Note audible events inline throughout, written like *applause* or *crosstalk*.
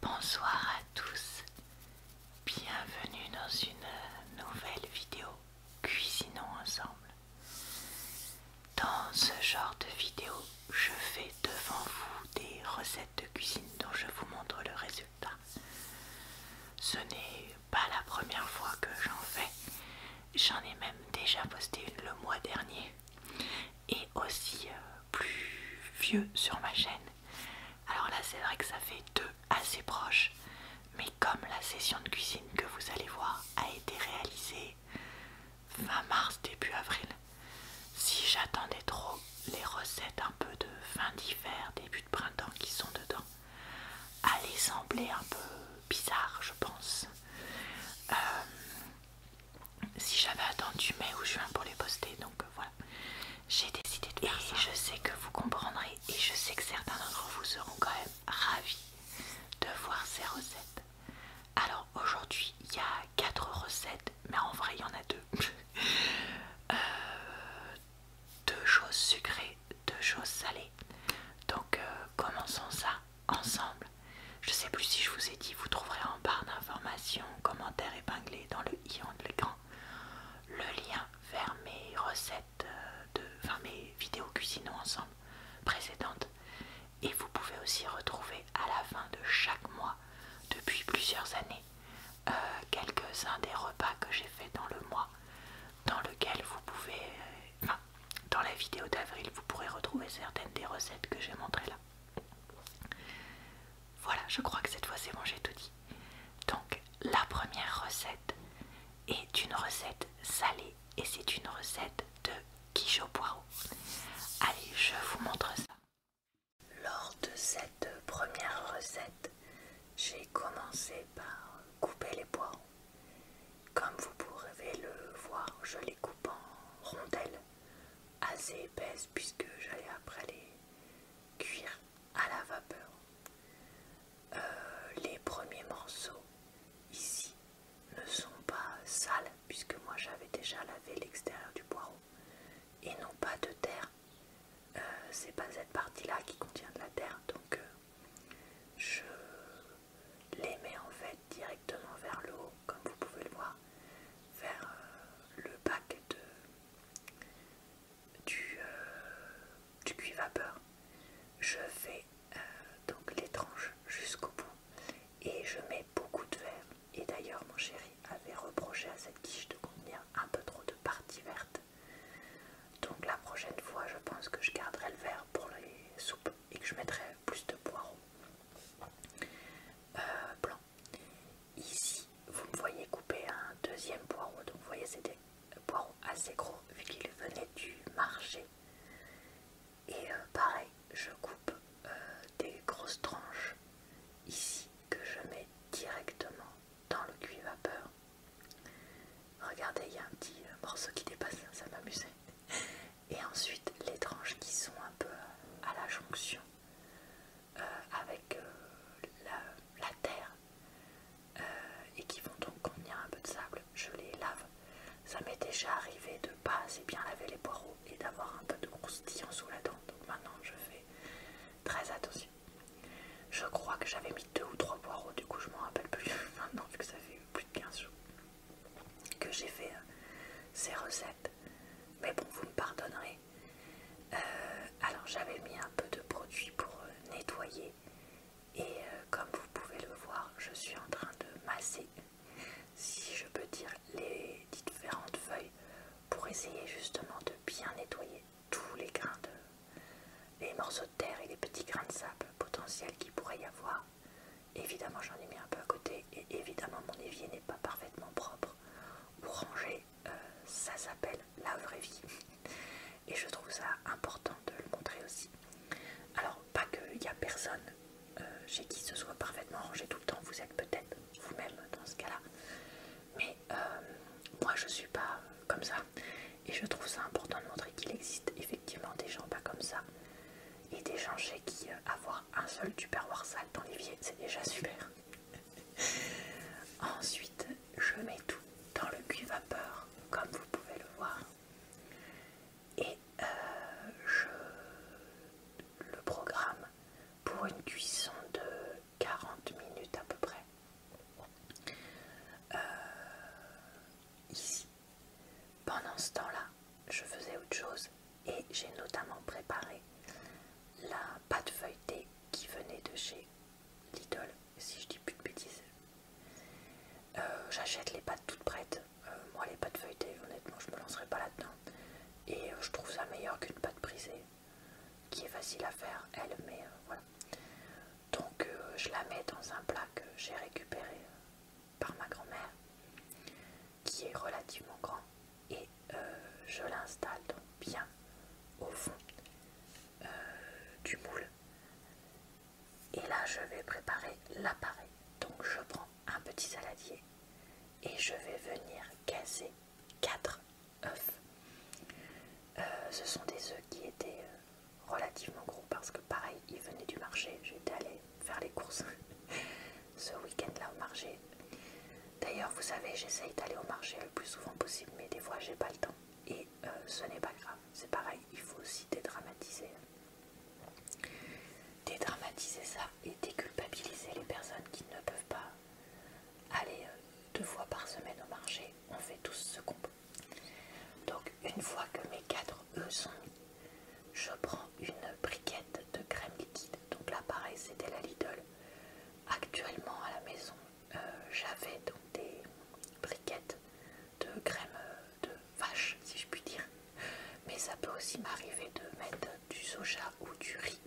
Bonsoir à tous, bienvenue dans une nouvelle vidéo Cuisinons ensemble. Dans ce genre de vidéo, je fais devant vous des recettes de cuisine dont je vous montre le résultat. Ce n'est pas la première fois que j'en fais, j'en ai même déjà posté une le mois dernier et aussi euh, plus vieux sur ma chaîne. Alors là c'est vrai que ça fait deux assez proches, mais comme la session de cuisine que vous allez voir a été réalisée fin mars, début avril, si j'attendais trop les recettes un peu de fin d'hiver, début de printemps qui sont dedans, allait sembler un peu bizarre je pense. Euh, si j'avais attendu mai ou juin pour les poster, donc euh, voilà, j'ai décidé de faire et je sais que vous comprendrez et je sais que certains d'entre vous seront quand même ravis de voir ces recettes. Alors aujourd'hui, il y a 4 recettes, mais en vrai, il y en a deux. *laughs* Euh, deux choses sucrées, deux choses salées. Donc euh, commençons ça ensemble. Je sais plus si je vous ai dit, vous trouverez en barre d'informations commentaire épinglé dans le i en l'écran le lien vers mes recettes euh, de, enfin mes vidéos cuisinons ensemble précédentes et vous pouvez aussi retrouver à la fin de chaque mois depuis plusieurs années euh, quelques-uns des repas que j'ai fait dans le mois dans lequel vous pouvez euh, enfin, dans la vidéo d'avril vous pourrez retrouver certaines des recettes que j'ai montrées là voilà, je crois que cette fois c'est bon, j'ai tout dit. Donc, la première recette est une recette salée et c'est une recette de quiche au poireau. Allez, je vous montre ça. Lors de cette première recette, j'ai commencé par couper les poireaux. Comme vous pouvez le voir, je les coupe en rondelles assez épaisses puisque j'allais après les cuire à la vapeur. Euh, les premiers morceaux ici ne sont pas sales puisque moi j'avais déjà lavé l'extérieur du poireau et non pas de terre. Euh, c'est pas cette partie-là qui contient de la terre donc euh, je les mets en fait directement vers le haut comme vous pouvez le voir vers euh, le bac de, du, euh, vapeur. Je fais euh, donc l'étrange jusqu'au bout et je mets beaucoup de verre. Et d'ailleurs mon chéri avait reproché à cette quiche de contenir un peu trop de parties vertes Donc la prochaine fois je pense que je garderai le verre pour les soupes et que je mettrai plus de poireaux. Ici, vous me voyez couper un deuxième poireau. Donc vous voyez, c'était un poireaux assez gros vu qu'il venait du marché. Et euh, pareil, je coupe euh, des grosses tranches ici que je mets directement dans le cuit vapeur. Regardez, il y a un petit euh, morceau qui dépasse, ça m'amusait. Et ensuite, les tranches qui sont un peu à la jonction euh, avec euh, la, terre euh, et qui vont donc contenir un peu de sable, je les lave. Ça m'est déjà arrivé de pas assez bien laver les poireaux et d'avoir un peu de croustillant sous la dent, donc maintenant je fais très attention. Je crois que j'avais mis deux ou trois poireaux, du coup je m'en rappelle plus *laughs* maintenant vu que ça fait plus de 15 jours que j'ai fait ces recettes. Mais bon, vous me pardonnerez, euh, alors j'avais mis un peu de produit pour euh, nettoyer et euh, comme vous pouvez le voir je suis en train de masser si je peux dire les différentes feuilles pour essayer justement de bien nettoyer tous les grains de les morceaux de terre et les petits grains de sable potentiels qu'il pourrait y avoir. Évidemment j'en ai mis un peu à côté et évidemment mon évier n'est pas parfaitement propre pour ranger, euh, ça s'appelle la vraie vie. *laughs* Et je trouve ça important de le montrer aussi. Alors, pas qu'il n'y a personne euh, chez qui ce soit parfaitement rangé tout le temps, vous êtes peut-être vous-même dans ce cas-là. Mais euh, moi, je suis pas comme ça. Et je trouve ça important de montrer qu'il existe effectivement des gens pas comme ça. Et des gens chez qui avoir un seul tupperware sale dans l'évier, c'est déjà super. *laughs* Ensuite, je mets tout dans le cuve vapeur, comme vous pouvez le voir, et euh, je le programme pour une cuisson de 40 minutes à peu près. Euh, ici, pendant ce temps-là, je faisais autre chose et j'ai notamment préparé la pâte feuilletée qui venait de chez Lidl, si je dis plus de bêtises. Euh, j'achète les pâtes toutes prêtes. Euh, moi, les pâtes feuilletées, honnêtement, je me lancerai pas là-dedans. Et euh, je trouve ça meilleur qu'une pâte brisée, qui est facile à faire, elle, mais voilà. Donc, je la mets dans un plat que j'ai récupéré par ma grand-mère qui est relativement grand et euh, je l'installe donc bien au fond euh, du moule. Et là je vais préparer l'appareil. Donc je prends un petit saladier et je vais venir casser 4 œufs. Euh, ce sont des œufs qui étaient relativement gros parce que pareil ils venaient du marché. J'étais allée faire les courses *laughs* ce week-end là au marché. D'ailleurs, vous savez, j'essaye d'aller au marché le plus souvent possible, mais des fois j'ai pas le temps. Et euh, ce n'est pas grave, c'est pareil, il faut aussi dédramatiser. Dédramatiser ça et déculpabiliser les personnes qui ne peuvent pas aller euh, deux fois par semaine au marché. On fait tous ce qu'on Donc, une fois que mes cadres, eux, sont mis, je prends une briquette de crème donc là pareil c'était la Lidl. Actuellement à la maison euh, j'avais donc des briquettes de crème euh, de vache si je puis dire. Mais ça peut aussi m'arriver de mettre du soja ou du riz.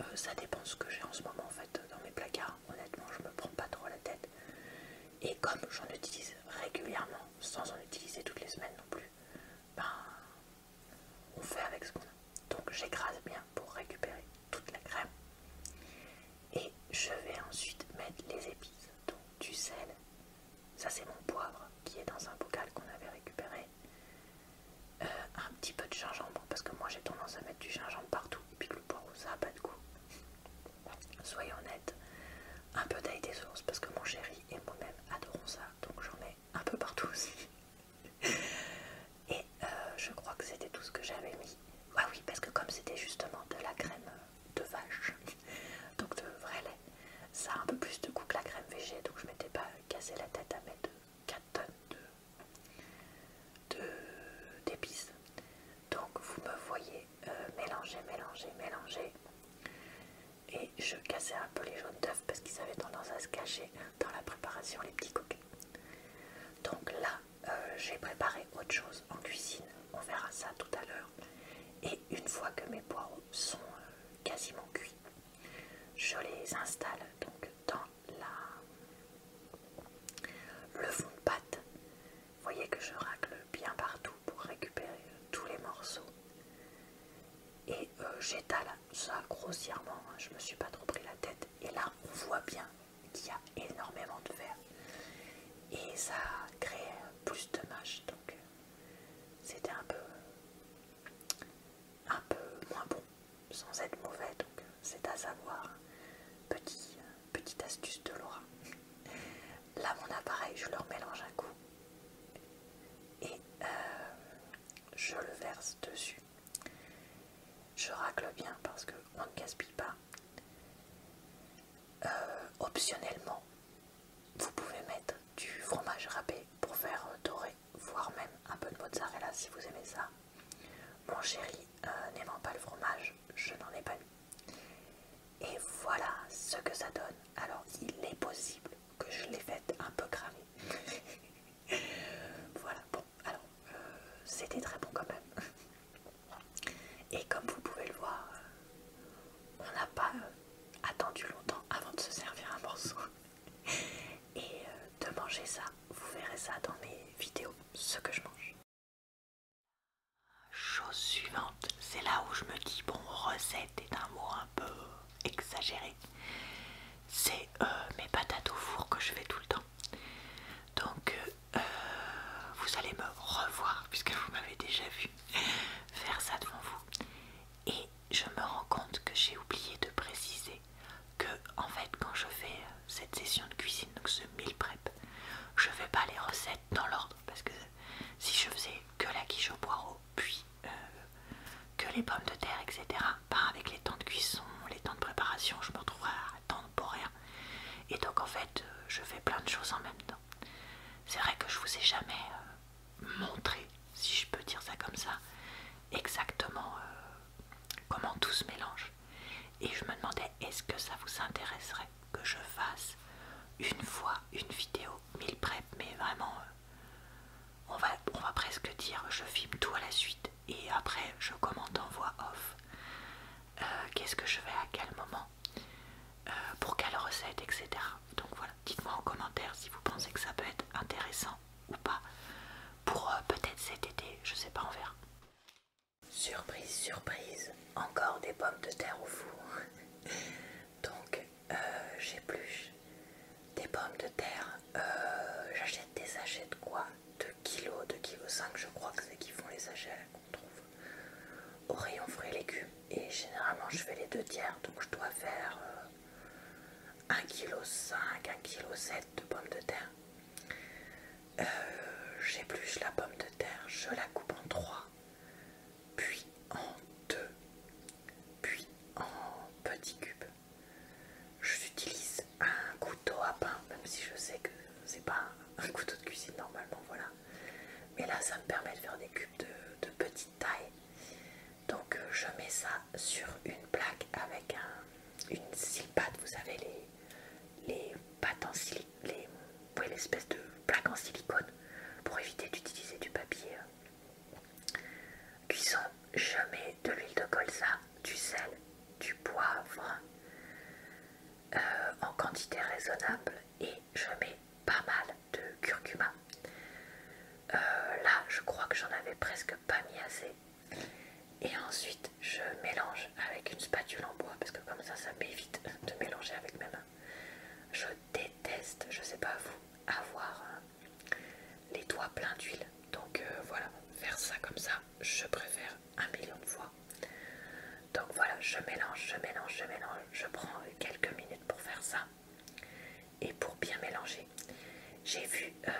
Euh, ça dépend ce que j'ai en ce moment en fait dans mes placards. Honnêtement je me prends pas trop la tête. Et comme j'en utilise régulièrement sans en utiliser toutes les semaines non plus, ben on fait avec ce qu'on a. Donc j'écrase bien pour récupérer toute la crème. Et je vais ensuite mettre les épices, donc du sel. Ça c'est mon poivre qui est dans un bocal qu'on avait récupéré. Euh, un petit peu de gingembre parce que moi j'ai tendance à mettre du gingembre partout et puis que le poivre ça n'a pas de goût. Soyons honnêtes, un peu d'ail des sauce parce que mon chéri et moi-même adorons ça donc j'en ai un peu partout aussi. Et euh, je crois que c'était tout ce que j'avais mis. Ah oui, parce que comme c'était justement de la crème euh, de vache, *laughs* donc de vrai lait, ça a un peu plus de goût que la crème végétale. donc je m'étais pas cassé la tête à mettre 4 tonnes d'épices. De, donc vous me voyez euh, mélanger, mélanger, mélanger et je cassais un peu les jaunes d'œufs parce qu'ils avaient tendance à se cacher dans la préparation, les petits coquets. Donc là, euh, j'ai préparé autre chose en cuisine, on verra ça tout à l'heure. Et une fois que mes poireaux sont euh, quasiment cuits, je les installe donc dans la... le fond de pâte. Vous voyez que je racle bien partout pour récupérer euh, tous les morceaux. Et j'étale ça grossièrement, hein, je me suis pas trop pris la tête. Et là, on voit bien qu'il y a énormément de verre. Et ça crée plus de mâches. Donc euh, c'était un peu, un peu moins bon, sans être mauvais. Donc euh, c'est à savoir, petit, euh, petite astuce de Laura. Là, mon appareil, je leur mélange un coup. Et je le verse dessus. Je racle bien parce que on ne gaspille pas. Euh, optionnellement, vous pouvez mettre du fromage râpé pour faire euh, doré, voire même un peu de mozzarella si vous aimez ça. Mon chéri euh, n'aimant pas le fromage, je n'en ai pas eu Et voilà ce que ça donne. Alors il est possible que je l'ai faite un peu cramée *laughs* voilà, bon, alors, euh, c'était très bon quand même. *laughs* Et comme vous pouvez le voir, euh, on n'a pas euh, attendu longtemps avant de se servir un morceau. *laughs* Et de manger ça, vous verrez ça dans mes vidéos, ce que je mange. Chose suivante, c'est là où je me dis, bon, recette est un mot un peu exagéré c'est euh, mes patates au four que je fais tout le temps. Donc euh, vous allez me revoir puisque vous m'avez déjà vu faire ça devant vous. Et je me rends compte que j'ai oublié de préciser que en fait quand je fais cette session de cuisine, donc ce meal prep, je fais pas les recettes dans l'ordre parce que si je faisais que la quiche au poireau euh, que les pommes de terre, etc. par avec les temps de cuisson, les temps de préparation, je me retrouve à temps pour rien. Et donc en fait, euh, je fais plein de choses en même temps. C'est vrai que je vous ai jamais euh, montré, si je peux dire ça comme ça, exactement comment tout se mélange. Et je me demandais, est-ce que ça vous intéresserait que je fasse une fois une vidéo mille prep, mais vraiment on va, on va presque dire je filme tout à la suite et après je commente en voix off euh, qu'est-ce que je fais à quel moment euh, pour quelle recette etc donc voilà dites moi en commentaire si vous pensez que ça peut être intéressant ou pas pour euh, peut-être cet été je sais pas on verra surprise surprise encore des pommes de terre au four *laughs* donc j'ai euh, j'épluche des pommes de terre, euh, j'achète des sachets de quoi 2 kg, de kg 5 je crois que c'est qui font les sachets qu'on trouve au rayon fruits et légumes et généralement je fais les deux tiers donc je dois faire 1,5 kg, 1 kg de pommes de terre. Euh, j'ai plus la pomme de terre, je la coupe en trois, puis en deux, puis en petits cubes. J'utilise un couteau à pain, même si je sais que c'est pas un couteau de cuisine normalement, voilà. Mais là, ça me permet de faire des cubes de, petite taille. Donc, euh, je mets ça sur une plaque avec une scie vous savez, les, les pâtes en silicone, les, l'espèce de plaque en silicone pour éviter d'utiliser du papier euh, Cuisson, je mets de l'huile de colza, du sel, du poivre euh, en quantité raisonnable et je mets pas mal de curcuma. Euh, là, je crois que j'en avais presque pas mis assez. Et ensuite, je mélange avec une spatule en bois parce que comme ça, ça m'évite de mélanger avec mes mains. Je déteste, je sais pas vous, avoir les doigts pleins d'huile. Donc euh, voilà, faire ça comme ça, je préfère un million de fois. Donc voilà, je mélange, je mélange, je mélange. Je prends quelques minutes pour faire ça et pour bien mélanger. J'ai vu euh,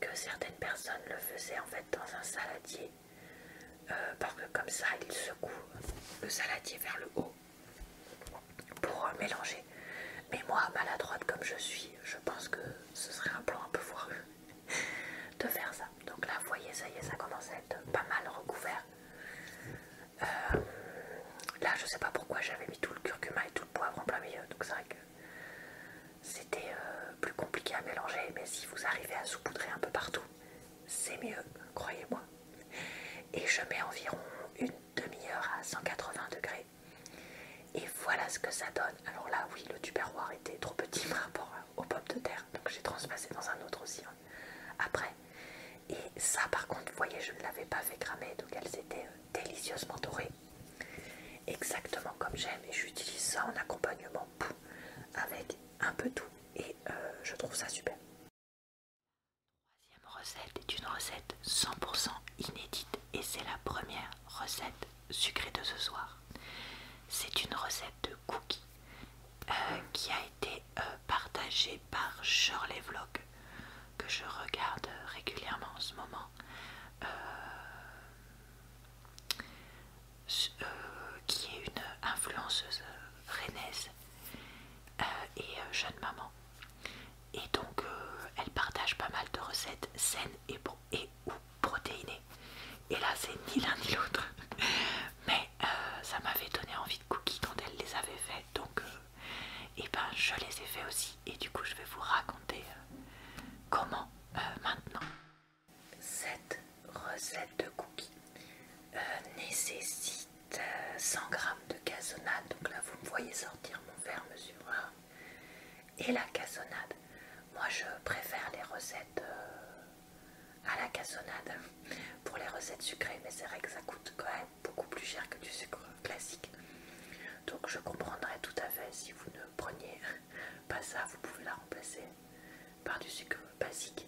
que certaines personnes le faisaient en fait dans un saladier euh, parce que comme ça, il secouent le saladier vers le haut pour euh, mélanger. Mais moi, maladroite comme je suis, je pense que ce serait un plan un peu foireux *laughs* de faire ça. Donc là, vous voyez, ça y est, ça commence à être pas mal recouvert. Euh, là, je sais pas pourquoi j'avais mis tout le curcuma et tout le poivre en plein milieu, donc c'est vrai que c'était euh, plus compliqué à mélanger. Mais si vous arrivez à saupoudrer un peu partout, c'est mieux, croyez-moi. Et je mets environ une demi-heure à 180 degrés. Et voilà ce que ça donne. Alors là, oui, le tupperware était trop petit par rapport au pommes de terre. Donc j'ai transpassé dans un autre aussi hein, après. Et ça, par contre, vous voyez, je ne l'avais pas fait cramer. Donc elles étaient euh, délicieusement dorées. Exactement comme j'aime. Et j'utilise ça en accompagnement avec un peu tout. Et euh, je trouve ça super. Troisième recette est une recette 100% inédite et c'est la première recette sucrée de ce soir. C'est une recette de cookies euh, qui a été euh, partagée par Shirley Vlog que je regarde régulièrement en ce moment. Euh, qui est une influenceuse rennaise et jeune maman et donc, euh, elle partage pas mal de recettes saines et, ou protéinées. Et là, c'est ni l'un ni l'autre. *laughs* Mais euh, ça m'avait donné envie de cookies quand elle les avait faites Donc, euh, et ben, je les ai fait aussi. Et du coup, je vais vous raconter comment maintenant. Cette recette de cookies nécessite 100 g de cassonade. Donc là, vous me voyez sortir mon verre mesureur et la cassonade. Moi, je préfère les recettes euh, à la cassonade hein, pour les recettes sucrées, mais c'est vrai que ça coûte quand même beaucoup plus cher que du sucre classique. Donc, je comprendrais tout à fait si vous ne preniez *laughs* pas ça, vous pouvez la remplacer par du sucre basique.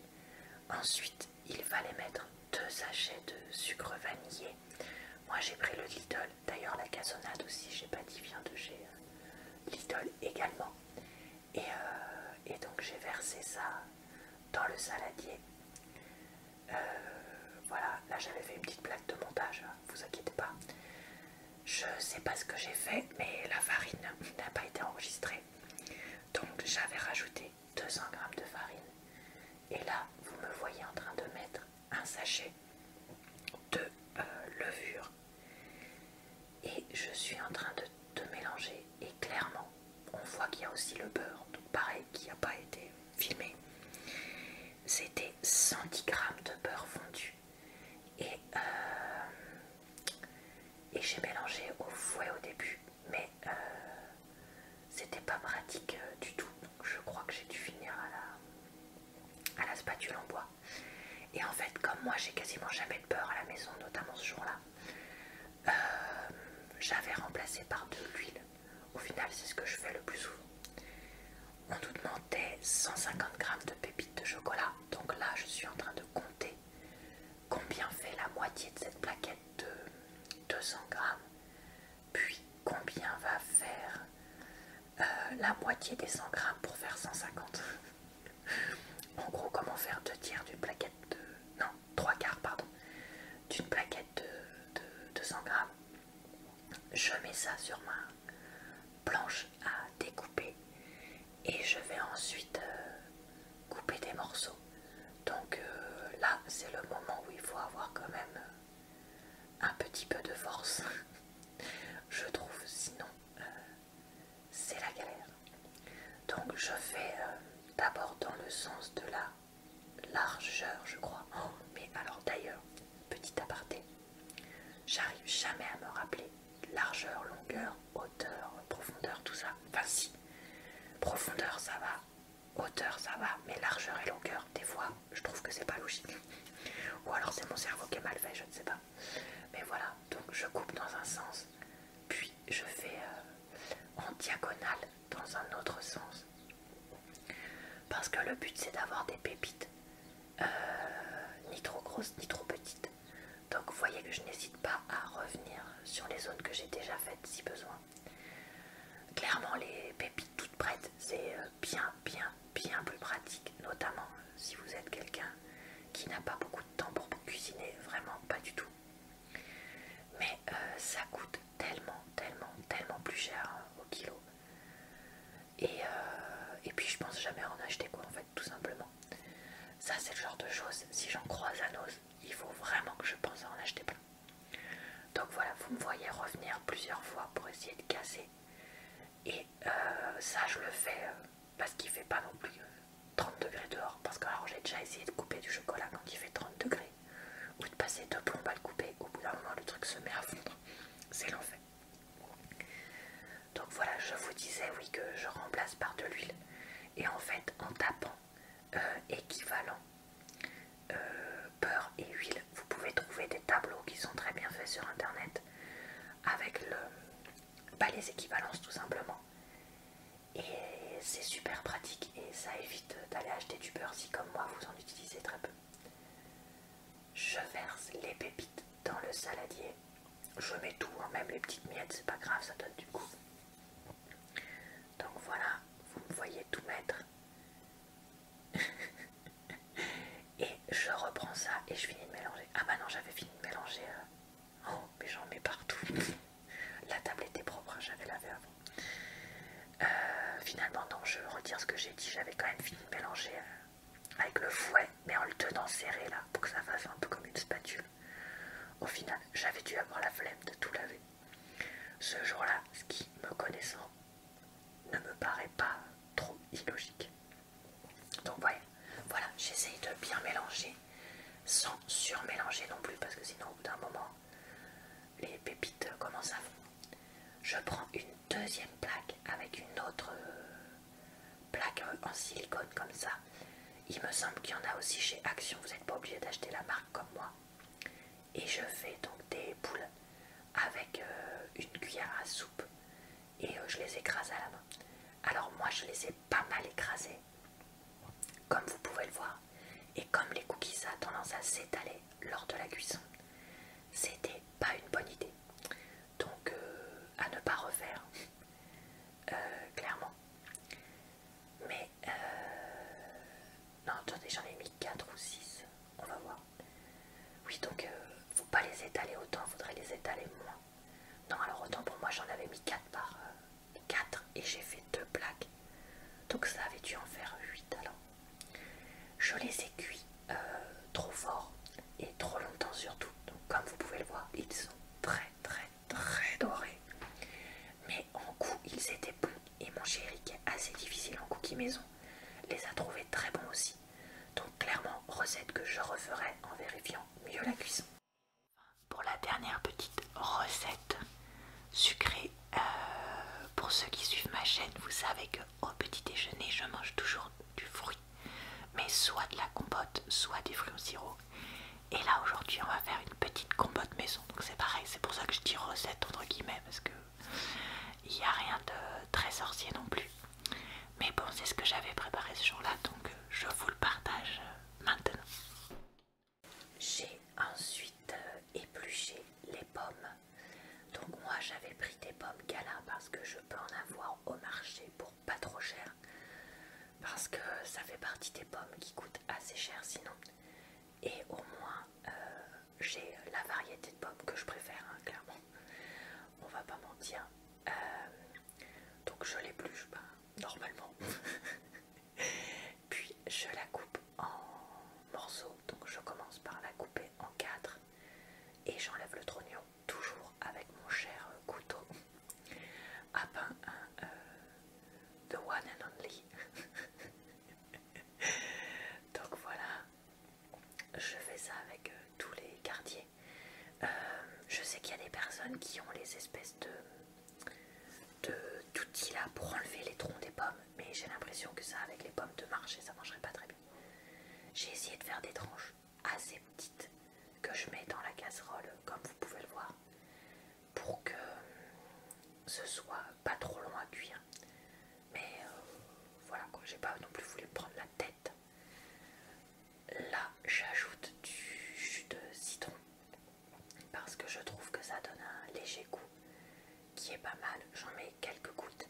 Ensuite, il fallait mettre deux sachets de sucre vanillé moi j'ai pris le Lidl, d'ailleurs la cassonade aussi, j'ai pas dit vient de chez euh, Lidl également. Euh, et, donc j'ai versé ça dans le saladier. Euh, voilà, là j'avais fait une petite plaque de montage, hein. vous inquiétez pas. Je sais pas ce que j'ai fait, mais la farine n'a pas été enregistrée. Donc j'avais rajouté 200 g de farine. Et là, vous me voyez en train de mettre un sachet de euh, levure. Et je suis en train de, mélanger. Et clairement, on voit qu'il y a aussi le beurre. Donc pareil, qui n'a pas été filmé. C'était 110 g de beurre fondu. Et, euh, et j'ai mélangé au fouet au début. Mais euh, c'était pas pratique euh, du tout. Donc je crois que j'ai dû finir à la, à la spatule en bois. Et en fait, comme moi j'ai quasiment jamais de peur à la maison, notamment ce jour-là, euh, j'avais remplacé par de l'huile. Au final, c'est ce que je fais le plus souvent. On nous demandait 150 grammes de pépites de chocolat. Donc là, je suis en train de compter combien fait la moitié de cette plaquette de 200 grammes. Puis combien va faire euh, la moitié des 100 grammes pour faire 150 En gros, comment faire deux tiers d'une plaquette de... Non, trois quarts, pardon. D'une plaquette de, 200 100 grammes. Je mets ça sur ma planche à découper et je vais ensuite euh, couper des morceaux donc euh, là, c'est le moment où il faut avoir quand même un petit peu de force. *laughs* je trouve, sinon, euh, c'est la galère. Donc je fais euh, d'abord dans le sens de la largeur, je crois. Oh, mais alors d'ailleurs, petit aparté, j'arrive jamais à me rappeler largeur, longueur, hauteur, profondeur, tout ça. Enfin si, profondeur ça va, hauteur ça va, mais largeur et longueur, des fois je trouve que c'est pas logique. Ou alors c'est mon cerveau qui est mal fait, je ne sais pas. Mais voilà, donc je coupe dans un sens, puis je fais euh, en diagonale dans un autre sens. Parce que le but c'est d'avoir des pépites, euh, ni trop grosses ni trop petites. Donc vous voyez que je n'hésite pas à revenir sur les zones que j'ai déjà faites si besoin. Clairement, les pépites toutes prêtes, c'est euh, bien, bien, bien plus pratique, notamment euh, si vous êtes quelqu'un qui n'a pas beaucoup de temps pour cuisiner, vraiment pas du tout. Mais euh, ça coûte tellement, tellement, tellement plus cher hein, au kilo. Et, puis je pense jamais en acheter quoi en fait, tout simplement. Ça c'est le genre de choses, si j'en croise à nos, il faut vraiment que je pense à en acheter plein. Donc voilà, vous me voyez revenir plusieurs fois pour essayer de casser. Et euh, ça, je le fais euh, parce qu'il fait pas non plus 30 euh, degrés dehors. Parce que alors j'ai déjà essayé de couper du chocolat quand il fait 30 degrés. Ou de passer deux plombes à le couper. Au bout d'un le truc se met à fondre. C'est l'enfer. Donc voilà, je vous disais oui que je remplace par de l'huile. Et en fait, en tapant euh, équivalent euh, beurre et huile. Vous pouvez trouver des tableaux qui sont très bien faits sur internet avec le, bah, les équivalences tout simplement. Et c'est super pratique et ça évite d'aller acheter du beurre si comme moi vous en utilisez très peu. Je verse les pépites dans le saladier. Je mets tout, hein, même les petites miettes, c'est pas grave, ça donne du goût. Donc voilà, vous me voyez tout mettre. *laughs* et je reprends ça et je finis de mélanger. Ah bah non, j'avais fini de mélanger. Euh. Oh, mais j'en mets partout. *laughs* la table était propre, hein, j'avais lavé avant. Euh, finalement, non, je retire ce que j'ai dit. J'avais quand même fini de mélanger euh, avec le fouet, mais en le tenant serré là, pour que ça fasse un peu comme une spatule. Au final, j'avais dû avoir la flemme de tout laver. Ce jour-là, ce qui, me connaissant, ne me paraît pas trop illogique. Donc voilà, j'essaye de bien mélanger, sans surmélanger non plus, parce que sinon au bout d'un moment, les pépites commencent à fondre. Je prends une deuxième plaque avec une autre euh, plaque euh, en silicone comme ça. Il me semble qu'il y en a aussi chez Action, vous n'êtes pas obligé d'acheter la marque comme moi et je fais donc des boules avec euh, une cuillère à soupe et euh, je les écrase à la main. Alors moi je les ai pas mal écrasées, comme vous pouvez le voir, et comme les cookies ça a tendance à s'étaler lors de la cuisson, c'était pas une bonne idée. Donc euh, à ne pas refaire, clairement. Mais euh, non attendez j'en ai mis 4 ou 6 on va voir oui donc ne euh, faut pas les étaler autant il faudrait les étaler moins non alors autant pour moi j'en avais mis 4 par 4 euh, et j'ai fait 2 plaques donc ça avait dû en faire 8 alors je les ai cuits trop fort et trop longtemps surtout donc comme vous pouvez le voir ils sont très très très dorés mais en coup, ils étaient bons et mon chéri, qui est assez difficile en cookie maison, les a trouvés très bons aussi. Donc clairement, recette que je referai en vérifiant mieux la cuisson. Pour la dernière petite recette sucrée, euh, pour ceux qui suivent ma chaîne, vous savez que au petit déjeuner, je mange toujours du fruit, mais soit de la compote, soit des fruits au sirop. Et là aujourd'hui, on va faire une petite compote maison donc c'est pareil, c'est pour ça que je dis recette entre guillemets parce que il n'y a rien de très sorcier non plus. Mais bon, c'est ce que j'avais préparé ce jour-là, donc euh, je vous le partage euh, maintenant. J'ai ensuite euh, épluché les pommes. Donc moi j'avais pris des pommes gala parce que je peux en avoir au marché pour pas trop cher. Parce que ça fait partie des pommes qui coûtent assez cher sinon et au moins euh, j'ai la variété de pommes que je préfère, hein, clairement. On va pas mentir. Euh, donc je l'épluche ben, normalement. *laughs* Puis je la coupe en morceaux. Donc je commence par la couper en quatre et j'enlève le trognon toujours avec mon cher couteau à pain hein, euh, the one and only *laughs* *laughs* Donc voilà, je fais ça avec euh, tous les quartiers. Euh, je sais qu'il y a des personnes qui ont les espèces de d'outils là pour enlever les troncs des pommes, mais j'ai l'impression que ça, avec les pommes de marché, ça mangerait pas très bien. J'ai essayé de faire des tranches assez petites que je mets dans la casserole, comme vous pouvez le voir pour que ce soit pas trop long à cuire. Mais euh, voilà quoi, j'ai pas non plus voulu prendre la tête. Là, j'ajoute du jus de citron parce que je trouve que ça donne un léger goût qui est pas mal. J'en mets quelques gouttes.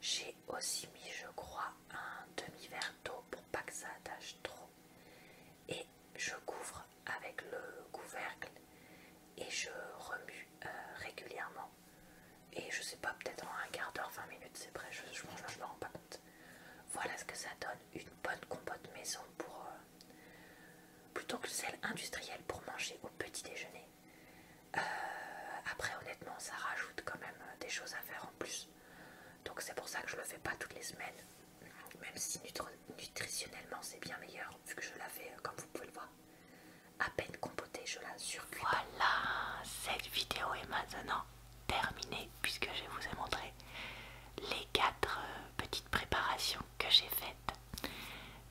J'ai aussi mis, je crois, un demi-verre d'eau pour pas que ça attache trop. Et je couvre avec le couvercle et je remue euh, régulièrement. Et je sais pas, peut-être en un quart d'heure, 20 minutes, c'est prêt, je, mange je me rends pas compte. Voilà ce que ça donne, une bonne compote maison pour... Euh, plutôt que celle industrielle pour manger au petit déjeuner. Euh, après honnêtement, ça rajoute quand même des choses à faire en plus. Donc c'est pour ça que je le fais pas toutes les semaines. Même si nutri nutritionnellement c'est bien meilleur vu que je l'avais, euh, comme vous pouvez le voir à peine compotée je la voilà cette vidéo est maintenant terminée puisque je vous ai montré les quatre euh, petites préparations que j'ai faites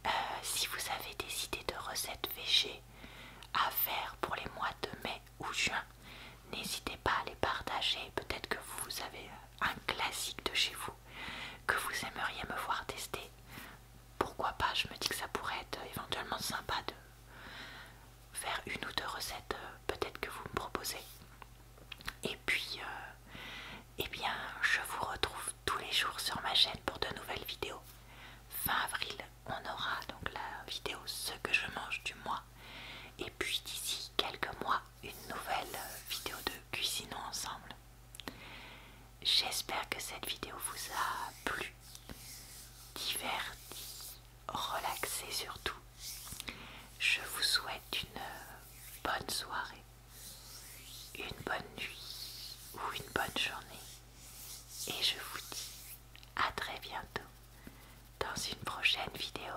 euh, si vous avez des idées de recettes végées à faire pour les mois de mai ou juin n'hésitez pas à les partager peut-être que vous avez un classique de chez vous que vous aimeriez me voir tester, pourquoi pas, je me dis que ça pourrait être éventuellement sympa de faire une ou deux recettes euh, peut-être que vous me proposez. Et puis, euh, eh bien, je vous retrouve tous les jours sur ma chaîne pour de nouvelles vidéos. Fin avril, on aura donc la vidéo ce que je mange du mois. Et puis d'ici quelques mois, une nouvelle vidéo de cuisinons ensemble. J'espère que cette vidéo vous a plu, diverti, relaxé surtout. Je vous souhaite une bonne soirée, une bonne nuit ou une bonne journée et je vous dis à très bientôt dans une prochaine vidéo.